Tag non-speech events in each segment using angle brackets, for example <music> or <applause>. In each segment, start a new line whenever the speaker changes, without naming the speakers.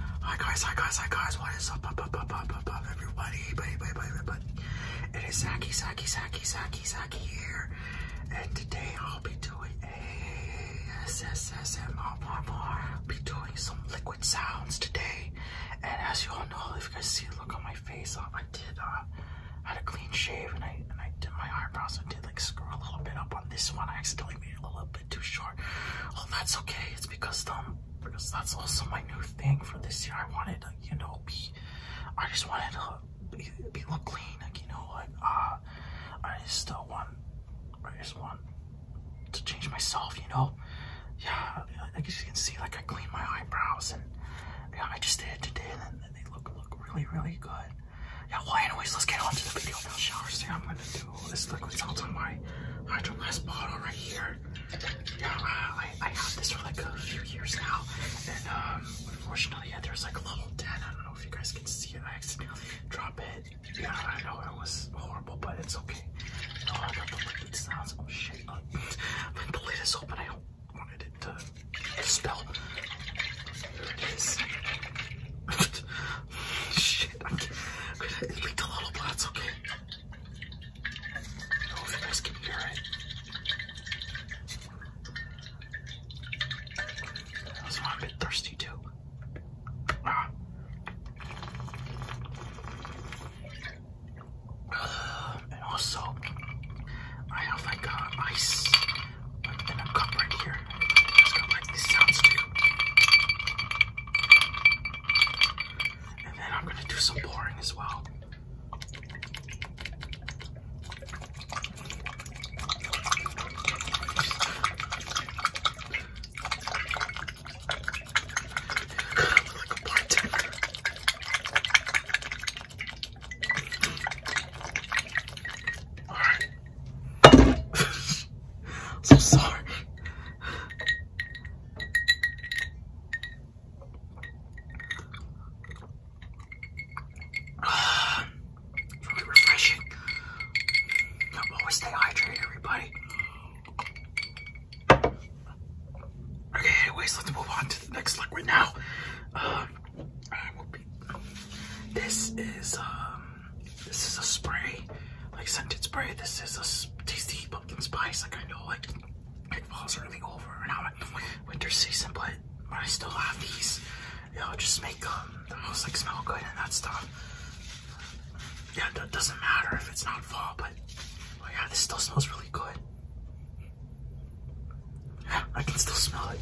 Hi guys, hi guys, hi guys, what is up, up, up, up, up, up, up, everybody, everybody, everybody, everybody. It is Zaki, Zaki, Zaki, Zaki, Zaki here, and today I'll be doing a SSSMR. I'll be doing some liquid sounds today, and as you all know, if you guys see look on my face, uh, I did, uh, had a clean shave, and I, and I did my eyebrows, and did like screw a little bit up on this one, I accidentally made it a little bit too short. Oh, that's okay. It's because um, because that's also my new thing for this year. I wanted to, you know, be, I just wanted to be, look clean, like you know, like ah, uh, I just uh, want, I just want to change myself, you know. Yeah, I guess you can see, like I cleaned my eyebrows and yeah, I just did it today, and, and they look look really really good. Yeah, well anyways, let's get on to the video now. Showers, so I'm gonna do all oh, this liquid sounds on my Hydro Glass bottle right here. Yeah, uh, I, I have this for like a few years now, and um, unfortunately, yeah, there's like a little dent. I don't know if you guys can see it. I accidentally drop it. Yeah, I know it was horrible, but it's okay. No, oh, I got the liquid sounds. Oh shit! Uh, <laughs> my plate is open. I don't wanted it to, to spill. There it is. <laughs> Shit, I'm gonna leaked a little, but that's okay. I if you guys can hear it. I'm a bit thirsty too. Ah. and also, I have like ice in a cup right here here. It's got like these sounds too. And then I'm gonna do some pouring as well. like a bartender. All right. <laughs> so sorry. Uh, <sighs> really refreshing. Now always stay hydrated, everybody. Okay, anyways, let's move on to the next liquid now. Uh, this is um, this is a spray, like scented spray. This is a tasty pumpkin spice. Like I know, like it falls early over and now winter season, but when I still have these, it'll just make um, the most, like smell good and that stuff. Yeah, that doesn't matter if it's not fall, but oh yeah, this still smells really good. Yeah, I can still smell it.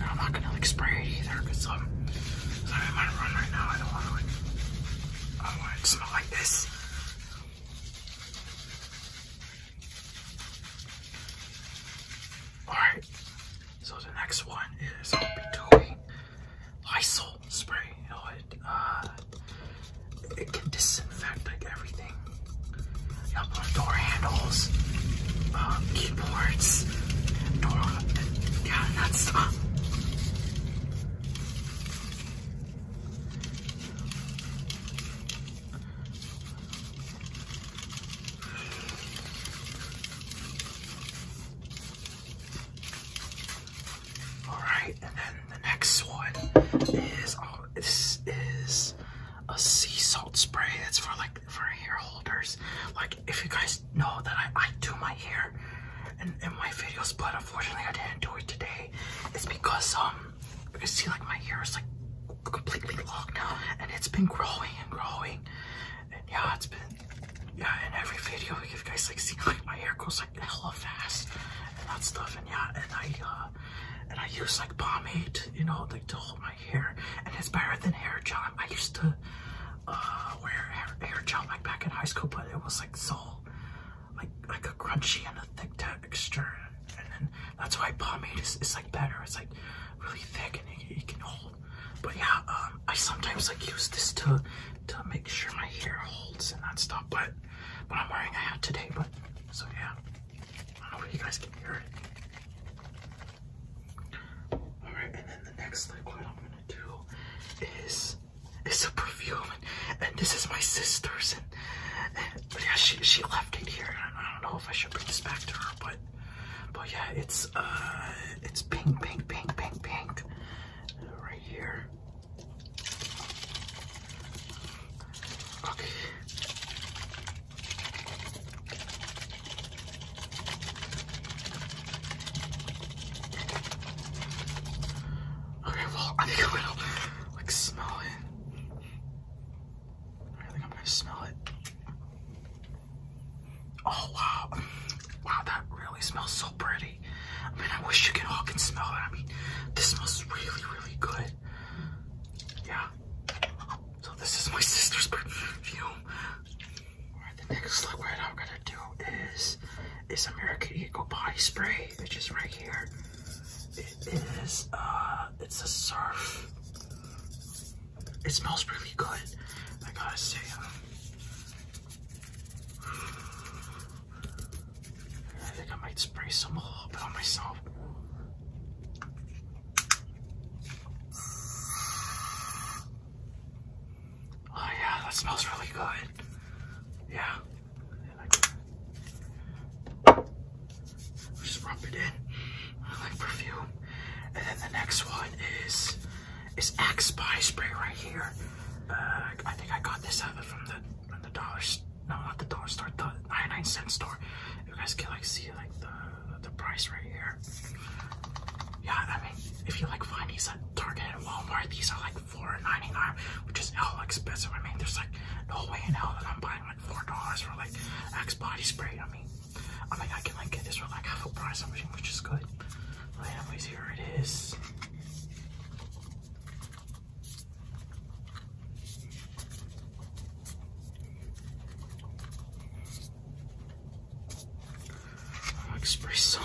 I'm not gonna like spray it either because um, i I'm in my room right now. I don't want to like, I don't want to smell like this. Alright, so the next one is Lysol spray. You it, uh, it can disinfect everything door handles, um, keyboards, door, yeah, that stuff. Uh. All right, and then the next one is, oh, this is a sea salt spray. It's for like for hair holders. Like if you guys know that I, do my hair and in my videos, but unfortunately I didn't do it today. It's because um you see like my hair is like completely locked now and it's been growing and growing and yeah it's been yeah in every video like, if you guys like see like my hair grows like hella fast and that stuff and yeah and I uh and I use like pomade you know like to hold my hair, and it's better than hair gel. I used to uh, wear hair, hair gel like back in high school, but it was like so like like a crunchy and a thick texture, and then that's why pomade is, is like better. It's like really thick and it, can hold. But yeah, um, I sometimes like use this to to make sure my hair holds and that stuff. But but I'm wearing a hat today, but so yeah. I don't know if you guys can hear it. Alright, and then the next liquid I'm gonna do is it's a perfume and, this is my sister's and, yeah she she left it here and I don't know if I should bring this back to her but but yeah it's uh it's pink pink pink pink pink right here okay Okay, well, I think I'm gonna like smell it. I think I'm gonna smell it. Oh wow, wow, that really smells so pretty. I mean, I wish you could all can smell it. I mean, this smells really, really good. Yeah. So this is my sister's perfume. Alright, the next look right I'm gonna do is is American Eagle body spray, which is right here. It is uh it's a surf. It smells really good, I gotta say. Um, I think I might spray some a little bit on myself. Oh yeah, that smells really good. Yeah. Just rub it in I like perfume. And then the next one is is Axe Spy Spray right here. Uh, I think I got this out from the from the dollar store no, not the dollar store, the 99 cent store. You guys can like see like the the price right here. Yeah, I mean, if you like find these at Target and Walmart, these are like $4.99, which is hell expensive. I mean, there's like no way in hell that I'm buying like four dollars for like Axe body spray. I mean, I mean, I can like get this for like half a price, which is good. But anyways, here it is. Espresso.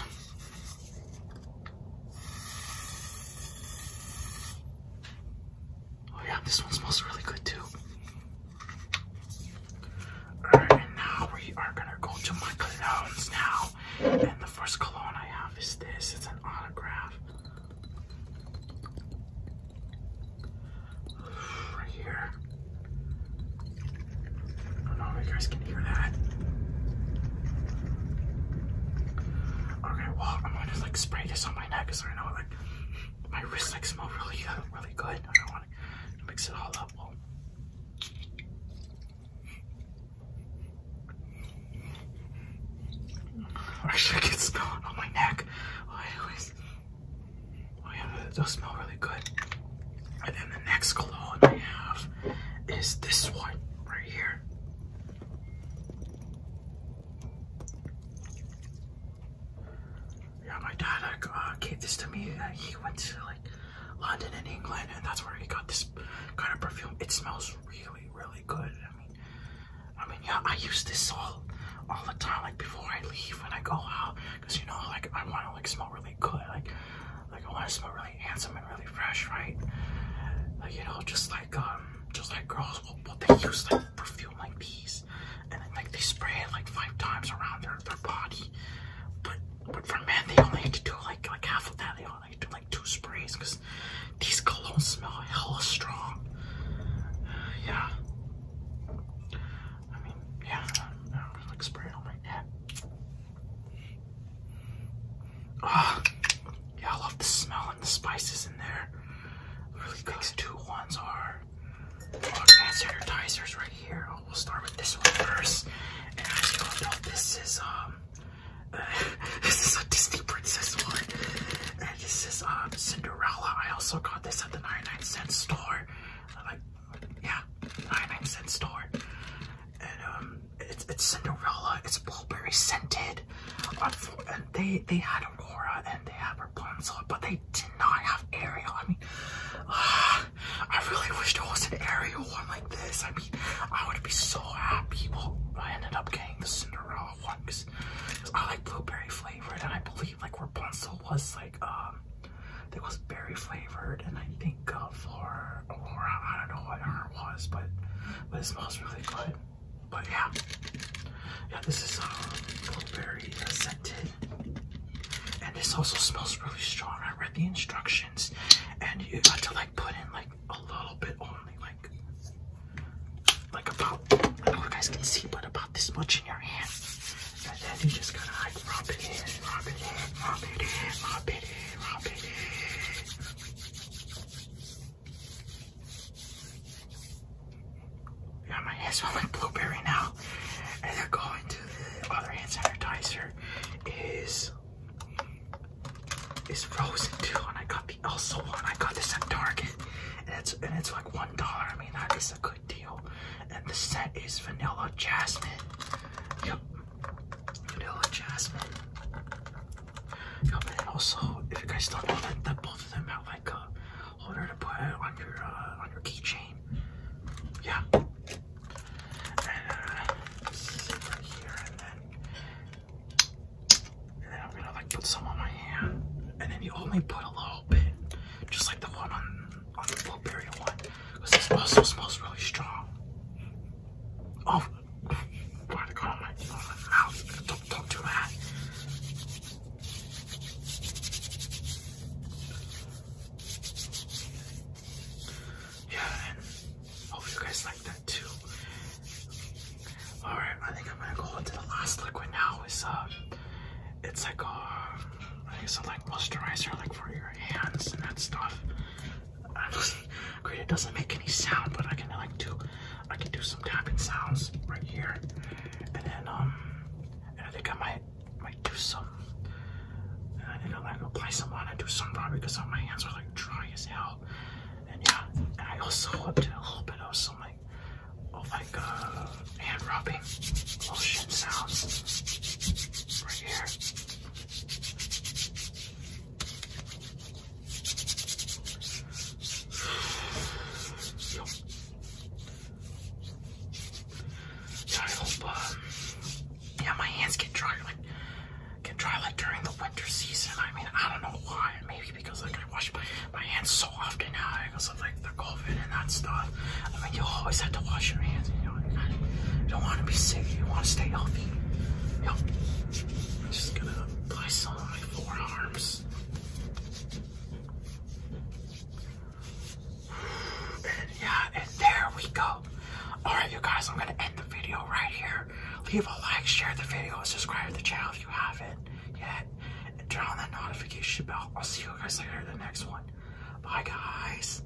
Oh yeah, this one smells really good too. Alright, now we are gonna go to my colognes now. And the first cologne I have is this. It's an autograph Right here. I don't know if you guys can hear that. Okay, well, I'm gonna like spray this on my neck because I know like my wrists like smell really good, uh, really good. I want to mix it all up. Actually, I can smell it on my neck. Oh, anyways. Oh, it does smell really good. And then the next cologne I have is this one right here. Yeah, my dad uh, gave this to me. he went to like London in England, and that's where he got this kind of perfume. It smells really, really good. I mean, yeah, I use this all, all the time, like before I leave when I go out, cause you know, like I want to like smell really good, like, like I want to smell really handsome and really fresh, right? Like you know, just like um, just like girls, what will they use like perfume like these, and then like they spray it like five times around their their body, but but for men they only have to do like like half of that. I do like two sprays because these colognes smell hella strong. <sighs> yeah. I mean, yeah, I'm just like spraying on my neck. Ah, yeah, I love the smell and the spices in there. Really good. two ones are advanced sanitizers right here. we'll start with this one first. this is um <laughs> this is a Disney princess one. And this is um, Cinderella. I also got this at the 99 cent store. Like, yeah, 99 cent store. And um, it's, it's Cinderella. It's blueberry scented. and they, they had Aurora and they have Rapunzel, but they did not have Ariel. I mean, <sighs> I really wish there was an Ariel one this. I mean, I would be so happy. Well, I ended up getting the Cinderella one because I like blueberry flavored, and I believe like Rapunzel was like um, it was berry flavored, and I think uh, Flora, Aurora, I don't know what her was, but but it smells really good. But yeah, yeah, this is um, blueberry uh, scented. And this also smells really strong. I read the instructions, and you got to like put in like a little bit only, like like about I don't know if you guys can see, but about this much in your hand. And then you just gotta like rub it in, rub it in, rub it in, rub it in, rub it in. Yeah, my hands smell like blueberry now. And the other hand sanitizer is is frozen two, and I got the also one. I got this at Target, and it's and it's like one dollar. I mean, that is a good deal. And the set is vanilla jasmine. Yep, vanilla jasmine. Yep, also, if you guys don't know that, both of them have like a holder to put on your uh, on your keychain. Yeah, and this is right here, and then, I'm gonna like put some on my hand, and then you only put a little bit, just like the one on on the blueberry one, because this also smells really strong. Oh, why to go on my, on my mouth? Don't don't do that yeah, and hope you guys like that too. All right, I think I'm gonna go into the last liquid now. Is uh, it's like a, uh, I guess a like moisturizer, like for your hands and that stuff. Honestly, great. It doesn't make any sound, but I can like do, I can do some tapping sounds right here, and then um, and I think I might might do some I think I'm gonna play some on and do some probably because my hands are like dry as hell. And yeah, and I also did a little bit of some like, oh my god, hand rubbing lotion sounds right here. <sighs> I hope, uh, yeah, my hands get dry like get dry like during the winter season. I mean, I don't know why. Maybe because like I wash my, hands so often now because of like the COVID and that stuff. I mean, you always have to wash your hands. You know, you, don't want to be sick. You want to stay healthy. You just gonna apply some on my forearms. Yeah, and there we go. Alright, you guys, I'm gonna end the video right here. Leave a like, share the video, subscribe to the channel if you haven't yet, and turn on that notification bell. I'll see you guys later in the next one. Bye, guys.